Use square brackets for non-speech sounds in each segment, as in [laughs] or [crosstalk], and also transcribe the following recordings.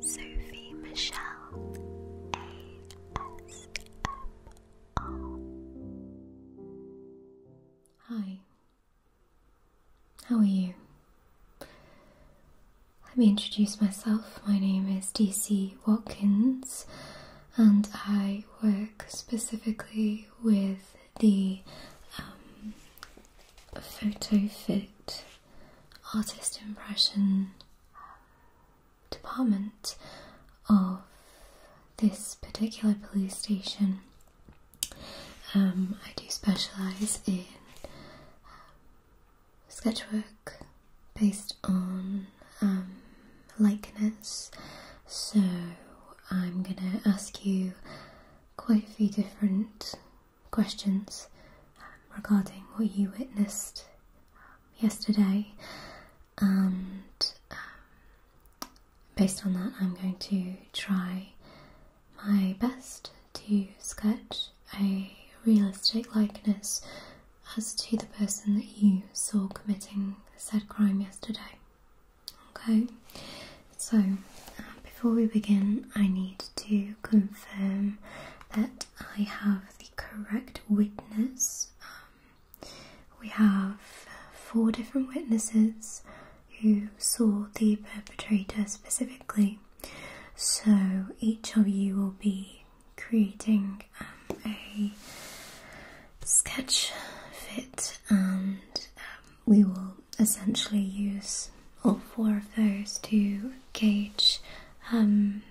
Sophie Michelle ASMR. Hi, how are you? Let me introduce myself. My name is DC Watkins, and I work specifically with the um, photo fit artist impression department of this particular police station. Um, I do specialise in um, sketchwork based on um, likeness, so I'm going to ask you quite a few different questions um, regarding what you witnessed um, yesterday, and um, based on that, I'm going to try my best to sketch a realistic likeness as to the person that you saw committing said crime yesterday. Okay, so before we begin, I need to confirm that I have the correct witness. Um, we have uh, four different witnesses who saw the perpetrator specifically, so each of you will be creating um, a sketch fit and um, we will essentially use all four of those to gauge um,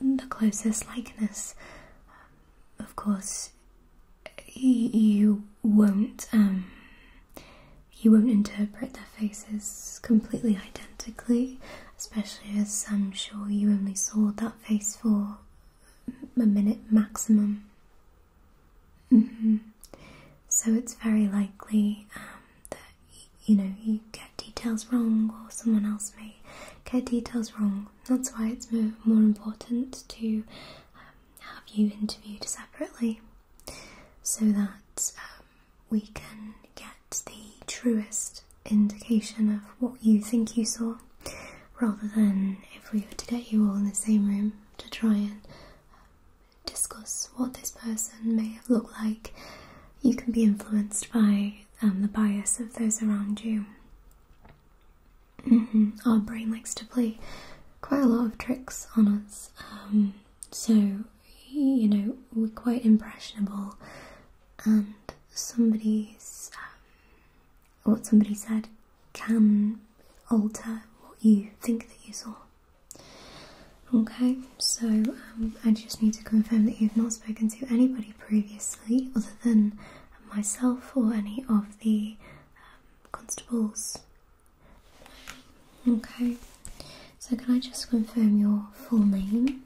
the closest likeness. of course, you won't um, you won't interpret their faces completely identically, especially as I'm sure you only saw that face for a minute maximum. Mm-hmm. So it's very likely um, that you know, you get details wrong or someone else may get details wrong. That's why it's more, more important to um, have you interviewed separately so that um, we can get the truest indication of what you think you saw rather than if we were to get you all in the same room to try and um, discuss what this person may have looked like, you can be influenced by um, the bias of those around you. Mm-hmm. Our brain likes to play quite a lot of tricks on us, um, so you know, we're quite impressionable. And somebody's, um, what somebody said, can alter what you think that you saw. Okay, so um, I just need to confirm that you've not spoken to anybody previously other than myself or any of the um, constables. Okay, so can I just confirm your full name?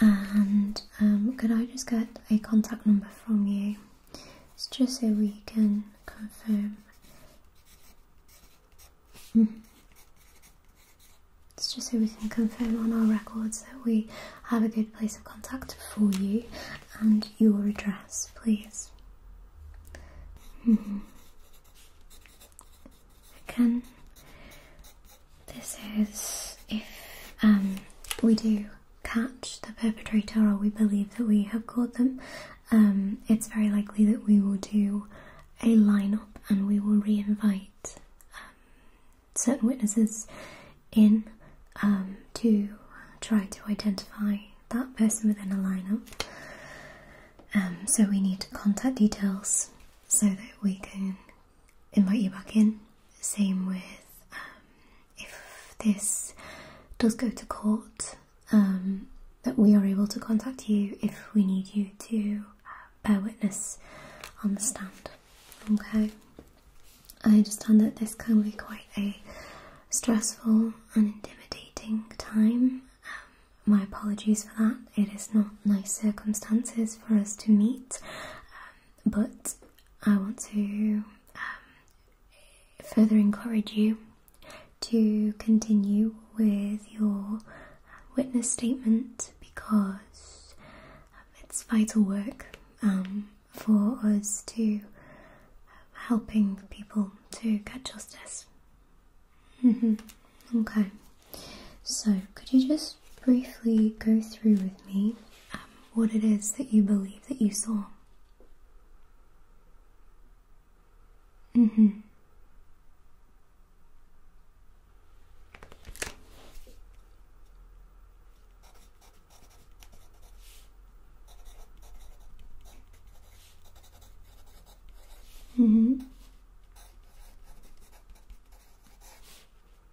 And um, could I just get a contact number from you? It's just so we can confirm. Mm-hmm. It's just so we can confirm on our records that we have a good place of contact for you and your address, please. Mm-hmm. Can this is if um, we do catch the perpetrator or we believe that we have caught them, um, it's very likely that we will do a lineup and we will re um, certain witnesses in to try to identify that person within a lineup. so we need contact details so that we can invite you back in. Same with um, if this does go to court, um, that we are able to contact you if we need you to uh, bear witness on the stand. Okay. I understand that this can be quite a stressful and intimidating time. Um, my apologies for that. It is not nice circumstances for us to meet but I want to um, further encourage you to continue with your um, witness statement because um, it's vital work for us to helping people to get justice. Mm-hmm. okay, so could you just briefly go through with me um, what it is that you believe that you saw? Mm-hmm. Mm-hmm.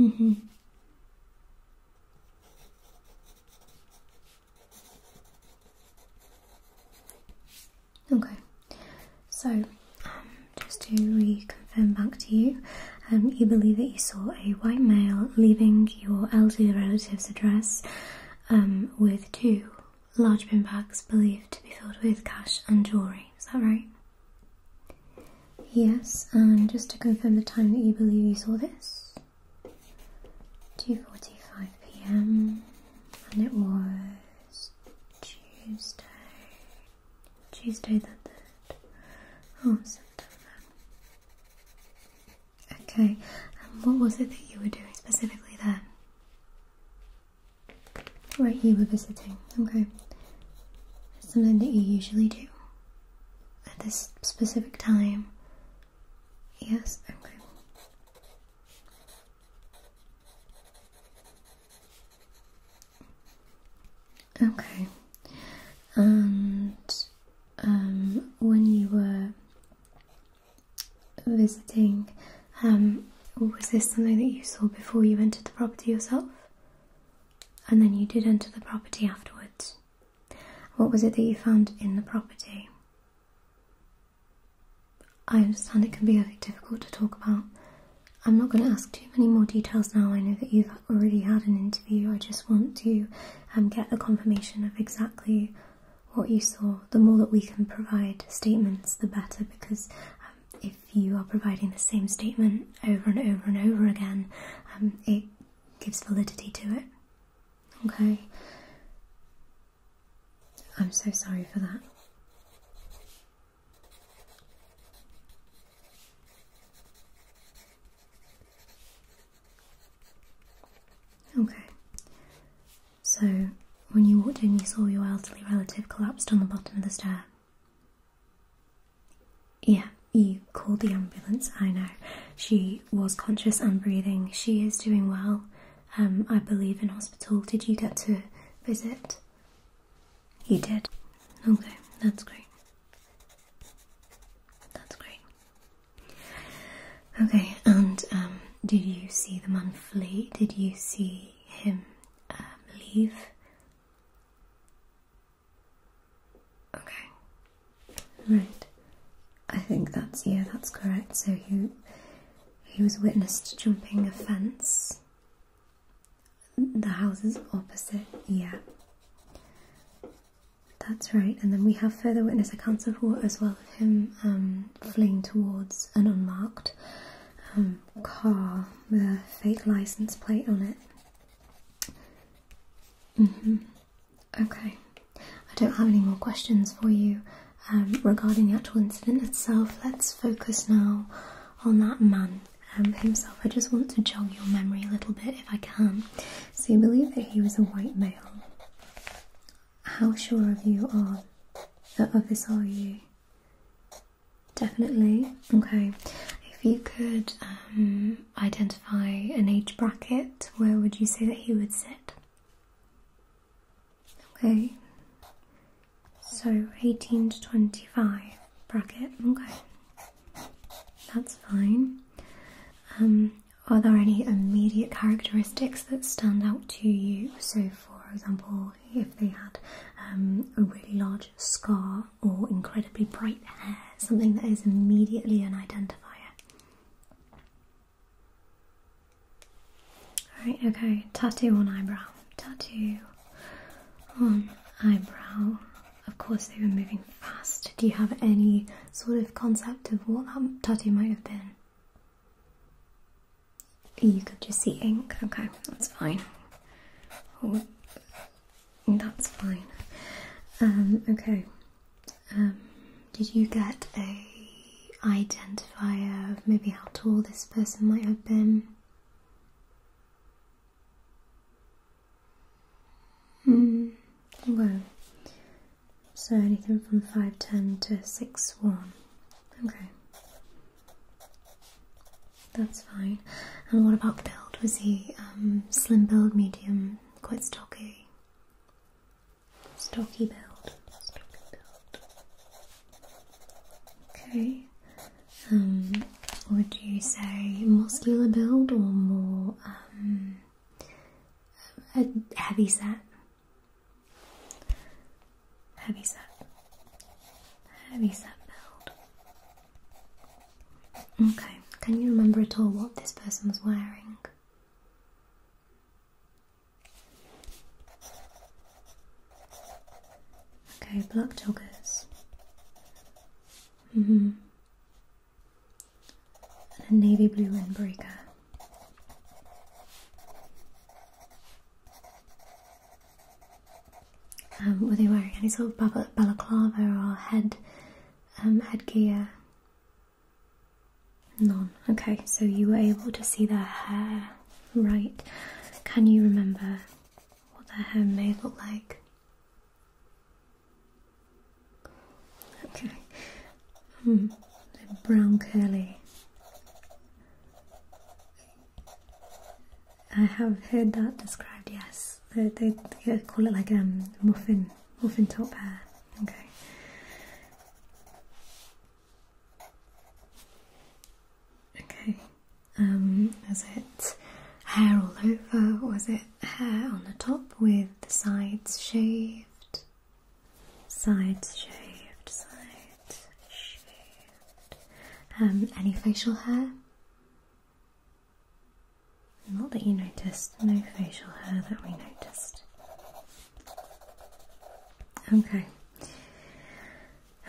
Mm-hmm. Okay, so um, just to reconfirm back to you, um, you believe that you saw a white male leaving your elderly relative's address um, with two large bin bags believed to be filled with cash and jewellery. Is that right? Yes, and just to confirm the time that you believe you saw this 2.45 pm, and it was Tuesday, Tuesday the 3rd oh, September. Okay, and what was it that you were doing specifically then? Right, you were visiting. Okay. something that you usually do at this specific time. Yes, okay. Okay. And um, when you were visiting. Um, was this something that you saw before you entered the property yourself? And then you did enter the property afterwards. What was it that you found in the property? I understand it can be very difficult to talk about. I'm not going to ask too many more details now. I know that you've already had an interview. I just want to um, get the confirmation of exactly what you saw, the more that we can provide statements, the better, because um, if you are providing the same statement over and over and over again, um, it gives validity to it. Okay? I'm so sorry for that. Okay, so, when you walked in, you saw your elderly relative collapsed on the bottom of the stair. Yeah, you called the ambulance, I know. She was conscious and breathing. She is doing well, um, I believe, in hospital. Did you get to visit? You did. Okay, that's great. That's great. Okay, and um, did you see the man flee? Did you see him um, leave. Okay. Right. I think that's yeah, that's correct. So he he was witnessed jumping a fence. The houses opposite, yeah. That's right. And then we have further witness accounts of war as well of him um, Flying towards an unmarked um, car a fake license plate on it. Mm-hmm. Okay, I don't have any more questions for you um, regarding the actual incident itself. Let's focus now on that man um, himself. I just want to jog your memory a little bit if I can. So, you believe that he was a white male how sure of you are of this are you? Definitely. Okay. If you could um, identify an age bracket, where would you say that he would sit? Okay. So 18 to 25 bracket. Okay. That's fine. Um, are there any immediate characteristics that stand out to you? So, for example, if they had um, a really large scar or incredibly bright hair, something that is immediately an identifier. Alright, okay, tattoo on eyebrow. Tattoo on eyebrow. Of course, they were moving fast. Do you have any sort of concept of what that tattoo might have been? You could just see ink. Okay, that's fine. Oh, that's fine. Um, okay. Um, did you get a identifier of maybe how tall this person might have been? Hmm. Well, so anything from 510 to 61. Okay. That's fine. And what about build? Was he um, slim build, medium, quite stocky? Stocky build. Okay. Um, would you say muscular build or more um, a heavy set? Heavy set. Heavy set build. Okay, can you remember at all what this person was wearing? Okay, black joggers. hmm. And a navy blue windbreaker. Um, were they wearing any sort of balaclava or head um, headgear? None. Okay, so you were able to see their hair, right? Can you remember what their hair may look like? Okay, Hmm, brown curly. I have heard that described, yes. They, call it like a um, muffin, muffin top hair. Okay. Okay, um, was it hair all over? Was it hair on the top with the sides shaved? Side shaved, side shaved. Um, any facial hair? Not that you noticed, no facial hair that we noticed. Okay.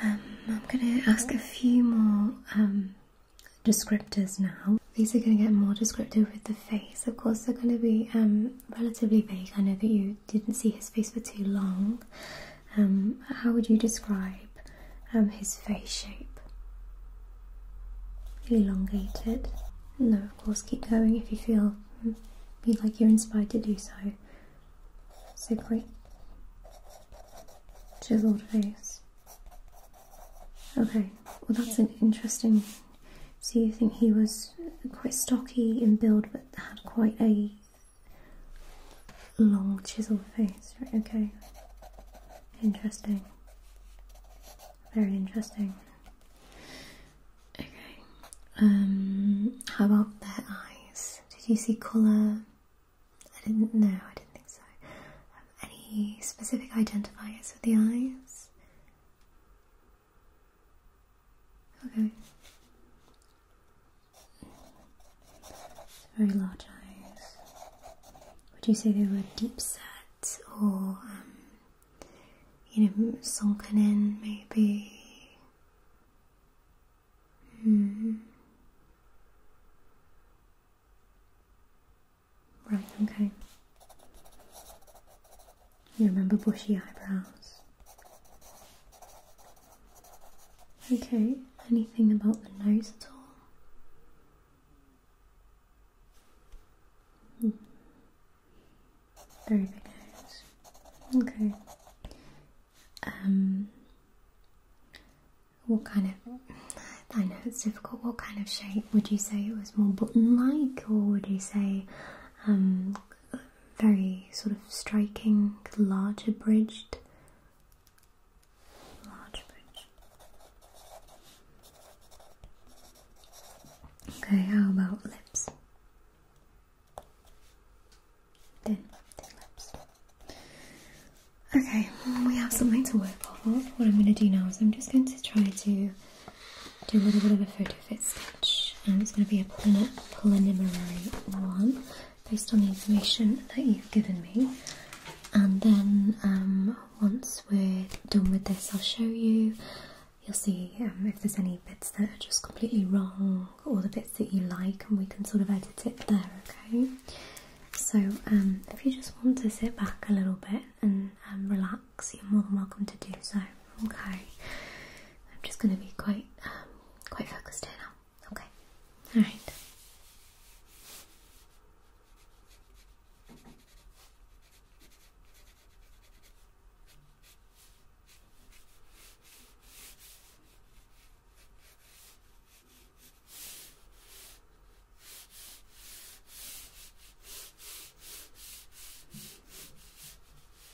Um, I'm going to ask a few more um, descriptors now. These are going to get more descriptive with the face. Of course, they're going to be relatively vague. I know that you didn't see his face for too long. Um, how would you describe um, his face shape? Elongated. No, of course, keep going if you feel hmm, you like you're inspired to do so. So Chiseled face. Okay, well, that's an interesting so you think he was quite stocky in build but had quite a long chiseled face, Okay. Interesting. Very interesting. Okay. Um how about their eyes? Did you see colour? I didn't know, I didn't think so. Um, any specific identifiers for the eyes? Okay. Very large eyes. Would you say they were deep set or, um, you know, sunken in maybe? Hmm. Right, okay. You remember bushy eyebrows? Okay, anything about the nose at all? Hmm. Very big nose. Okay. Um, what kind of? I know it's difficult. What kind of shape would you say it was more button-like, or would you say um, very sort of striking, larger bridged. Okay, how about lips? Thin, lips. Okay, we have something to work off of. What I'm going to do now is I'm just going to try to do a little bit of a photo fit sketch, and it's going to be a preliminary one based on the information that you've given me. And then um, once we're done with this, I'll show you. You'll see um, if there's any bits that are just completely wrong, or the bits that you like, and we can sort of edit it there. Okay. So um, if you just want to sit back a little bit and relax so you're more than welcome to do so. Okay, I'm just going to be quite, um, quite focused here now. Okay, all right.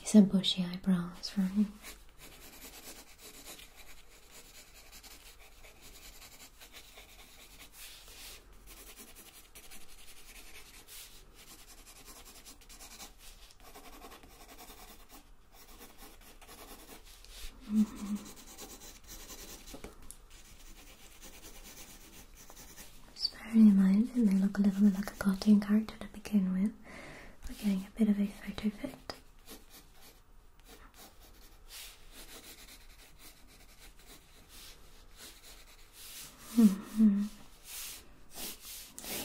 He said bushy eyebrows, right? Just bearing in mind, it may look a little bit like a cartoon character to begin with. We're getting a bit of a photo effect. hmm.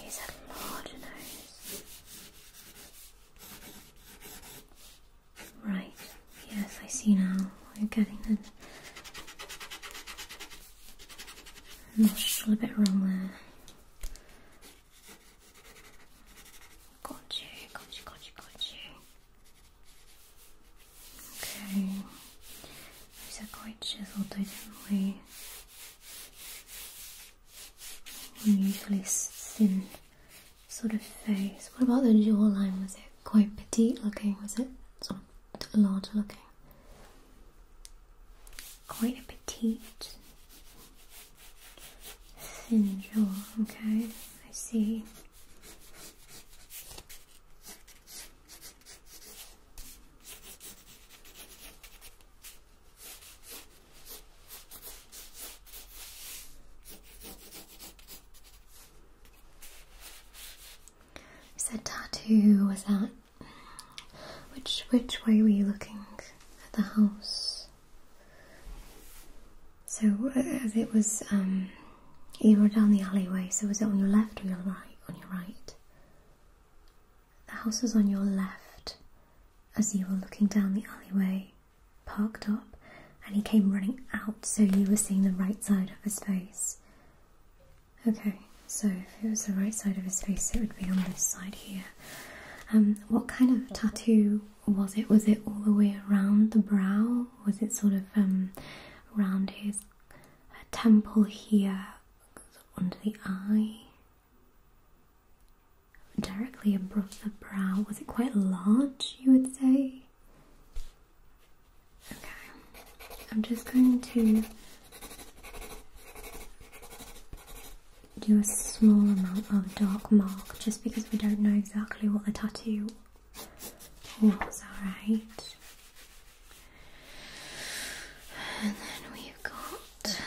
He's a large nose. Right, yes, I see now. You're getting it. I'm not sure, a bit wrong there. Got you, got you, Okay. These are quite chiseled though, didn't we? Unusually thin sort of face. What about the jawline? Was it quite petite looking? Was it sort of large looking? Quite a petite, thin jaw. Okay, I see. You said tattoo was that which which way were you looking at the house? So uh, as it was um, you were down the alleyway, so was it on your left or your right? On your right. The house was on your left as you were looking down the alleyway parked up and he came running out, so you were seeing the right side of his face. Okay, so if it was the right side of his face, it would be on this side here. Um, what kind of tattoo was it? Was it all the way around the brow? Was it sort of um, around his temple here, under the eye? directly above the brow. Was it quite large, you would say? Okay, I'm just going to do a small amount of dark mark just because we don't know exactly what the tattoo was, alright? And then we've got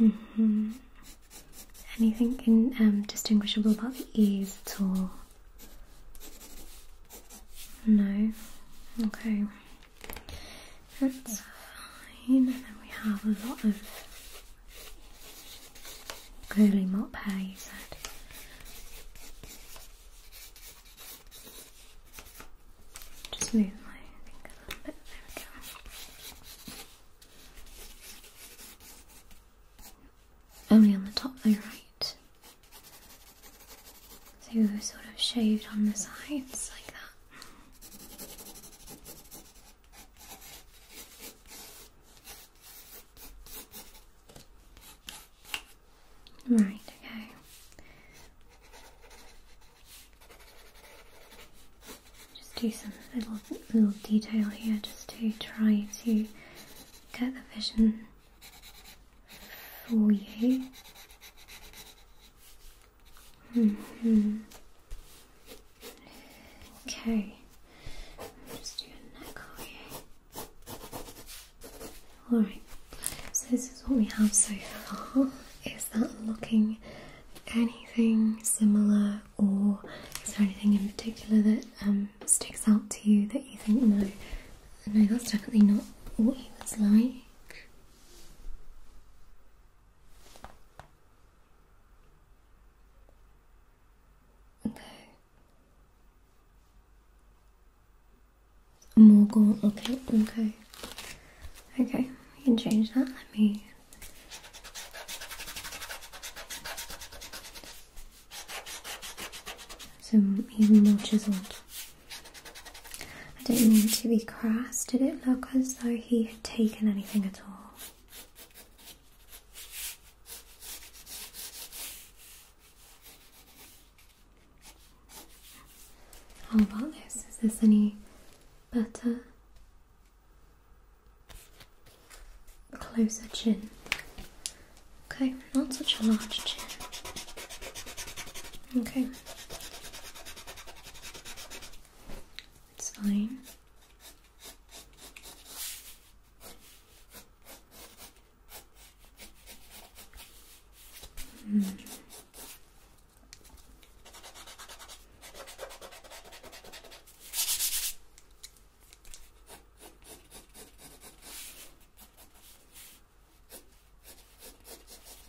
Mm hmm Anything um, distinguishable about the ears at all? No? Okay. That's fine. And then we have a lot of curly mop hair, you said. Just move my finger a little bit. There we go. Only on the top though, right? So we sort of shaved on the sides like that. Right, okay. Just do some little little detail here just to try to get the vision for you. -hmm. Okay. Just do a neck for Alright, so this is what we have so far. Is that looking anything similar, or is there anything in particular that um, sticks out to you that you think, no, no, that's definitely not what he was like? Okay. Morgul. Okay, okay. Okay, we can change that. Let me. So even more chiseled. I don't mean to be crass. Did it look as though he had taken anything at all? How about this? Is this any better? Closer chin. Okay, not such a large chin. Okay. It's fine. Mm.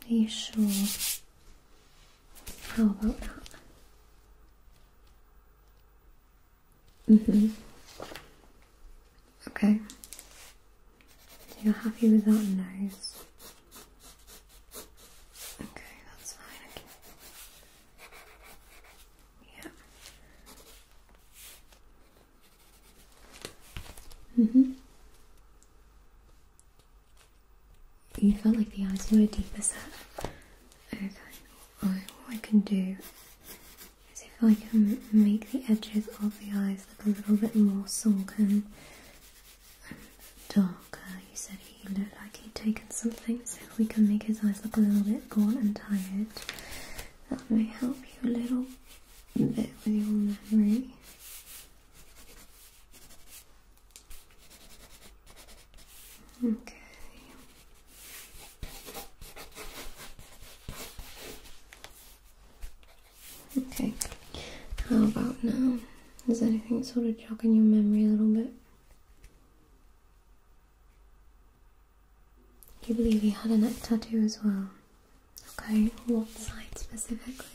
Are you sure? How about that? Mm-hmm. Okay. you're happy with that nose? Okay, that's fine. Okay. Yeah. Mhm. Mm you felt like the eyes were deeper set. Okay. Well, what I can do is if I can make the edges of the eyes look a little bit more sunken and darker. You said he looked like he'd taken something, so if we can make his eyes look a little bit gaunt and tired, that may help you a little bit with your memory. Okay. Okay. How about now? Is anything sort of jogging your memory a little bit? You believe he had a neck tattoo as well. Okay, what side specifically?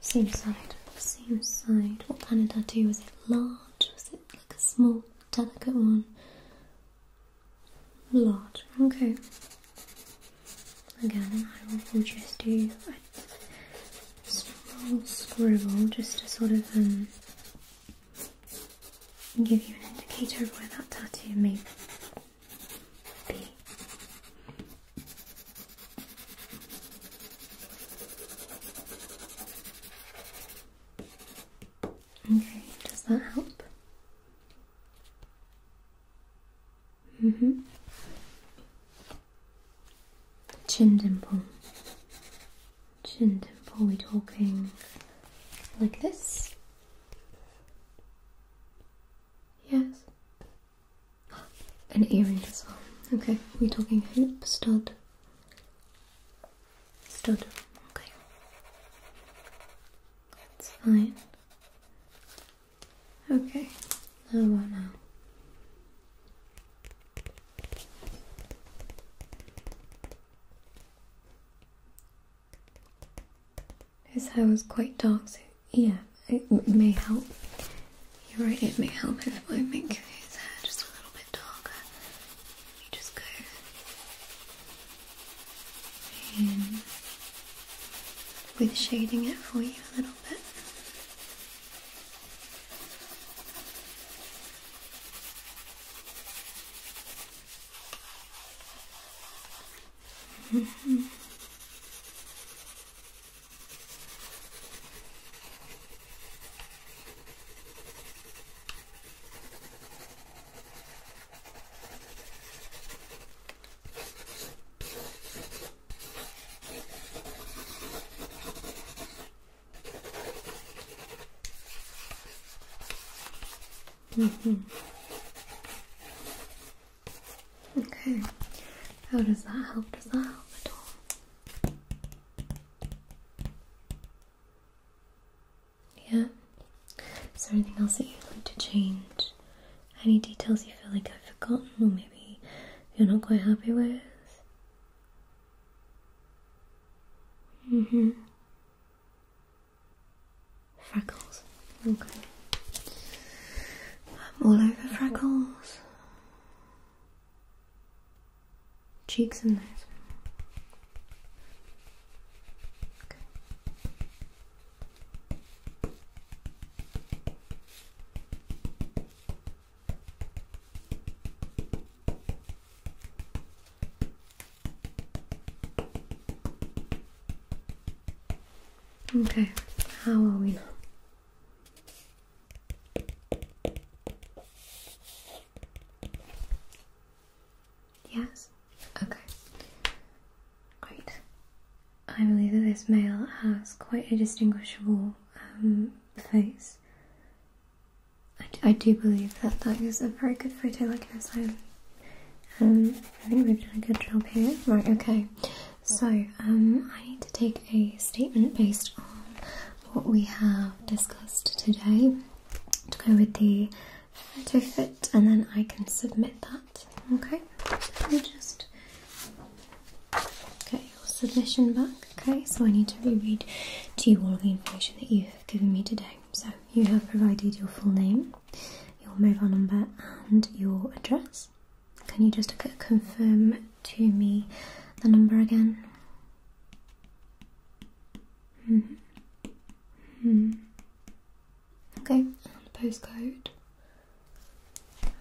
Same side, same side. What kind of tattoo? Was it large? Was it like a small, delicate one? Large, okay. Again, I will just do a small scribble just to sort of um, give you an indicator of where that tattoo may be. Okay, does that help? Mm-hmm. Chin dimple. Chin dimple, we talking like this? Yes. An earring as well. Okay, we're talking hoop stud. Still do. Okay. That's fine. Okay. How about now? His hair is quite dark, so yeah, it may help. You're right, it may help if I make his hair just a little bit darker just go in with shading it for you a little bit. [laughs] Mm -hmm. Okay. How does that help? Does that help at all? Yeah? Is there anything else that you'd like to change? Any details you feel like I've forgotten or maybe you're not quite happy with? hmm. Freckles. Okay. I'm all over freckles cheeks and nose. Okay. Okay, how are we now? Yes? Okay. Great. I believe that this male has quite a distinguishable um, face. I, I do believe that that is a very good photo likeness. I, um, I think we've done a good job here. Right, okay. So, um, I need to take a statement based on what we have discussed today to go with the photo fit and then I can submit that. Okay, let me just get your submission back. Okay, so I need to reread to you all of the information that you have given me today. So you have provided your full name, your mobile number and your address. Can you just confirm to me the number again? -hmm. Hmm. Okay, and postcode.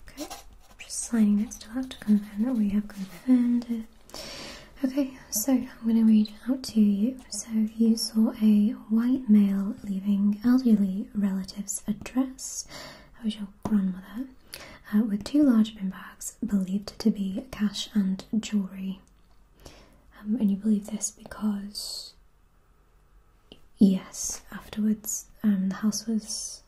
Okay, I'm just signing next Still have to confirm that we have confirmed it. Okay, so I'm going to read out to you. So you saw a white male leaving elderly relative's address. That was your grandmother. Uh, with two large bin bags believed to be cash and jewellery. Um, and you believe this because, yes, afterwards um, the house was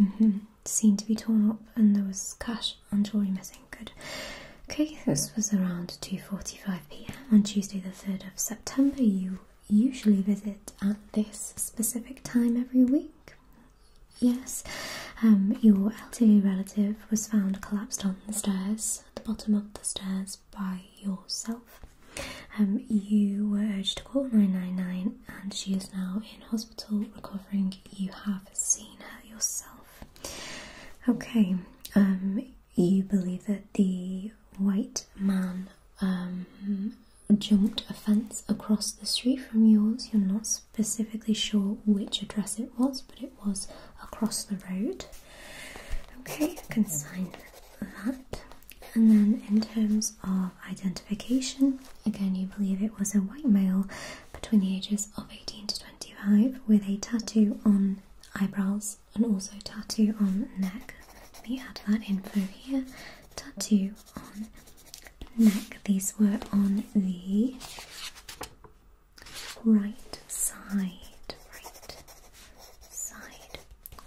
mm-hmm, seen to be torn up and there was cash and jewellery missing. Good. Okay, this was around 2.45 pm on Tuesday the 3rd of September. You usually visit at this specific time every week. Yes, um, your elderly relative was found collapsed on the stairs, at the bottom of the stairs, by yourself. Um, you were urged to call 999 and she is now in hospital recovering. You have seen her yourself. Okay, um, you believe that the white man um, jumped a fence across the street from yours. You're not specifically sure which address it was, but it was across the road. Okay, I can sign that. And then in terms of identification, again, you believe it was a white male between the ages of 18 to 25 with a tattoo on eyebrows and also tattoo on neck. Let me add that info here. Tattoo on neck. These were on the right side, right side.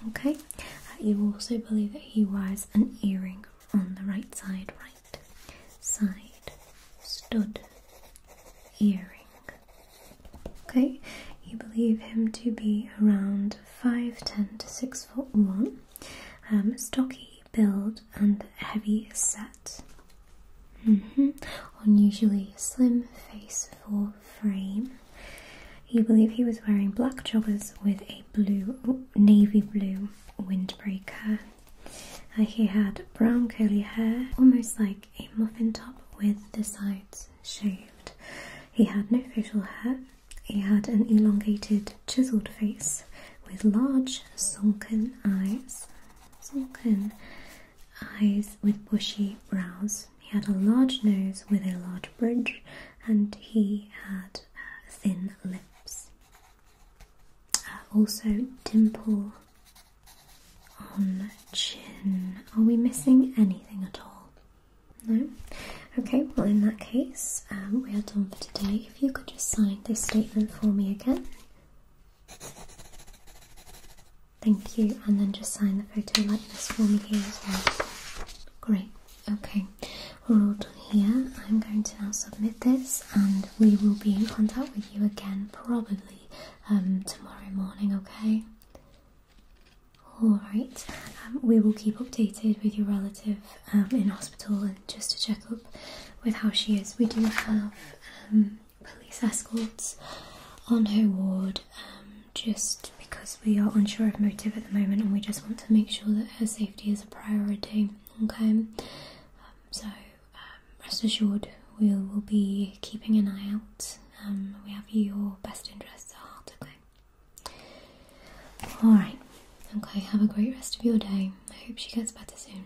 Okay, uh, you also believe that he wears an earring on the right side, right side, stud, earring. Okay, you believe him to be around 5'10 to 6 foot 1, um, stocky build and heavy set. Mm-hmm. Unusually slim face for frame. He believed he was wearing black joggers with a blue, navy blue windbreaker. Uh, he had brown curly hair, almost like a muffin top with the sides shaved. He had no facial hair. He had an elongated, chiselled face with large, sunken eyes. Sunken eyes with bushy brows. He had a large nose with a large bridge, and he had uh, thin lips. Uh, also, dimple on chin. Are we missing anything at all? No? Okay, well, in that case, um, we are done for today. If you could just sign this statement for me again. Thank you, and then just sign the photo like this for me here as well. Great, okay, we're all done here. I'm going to now submit this, and we will be in contact with you again probably um, tomorrow morning, okay? Alright, um, we will keep updated with your relative um, in hospital and just to check up with how she is. We do have um, police escorts on her ward um, just because we are unsure of motive at the moment and we just want to make sure that her safety is a priority. Okay, um, so rest assured we will be keeping an eye out. we have your best interests at heart. Okay. All right. Okay. Have a great rest of your day. I hope she gets better soon.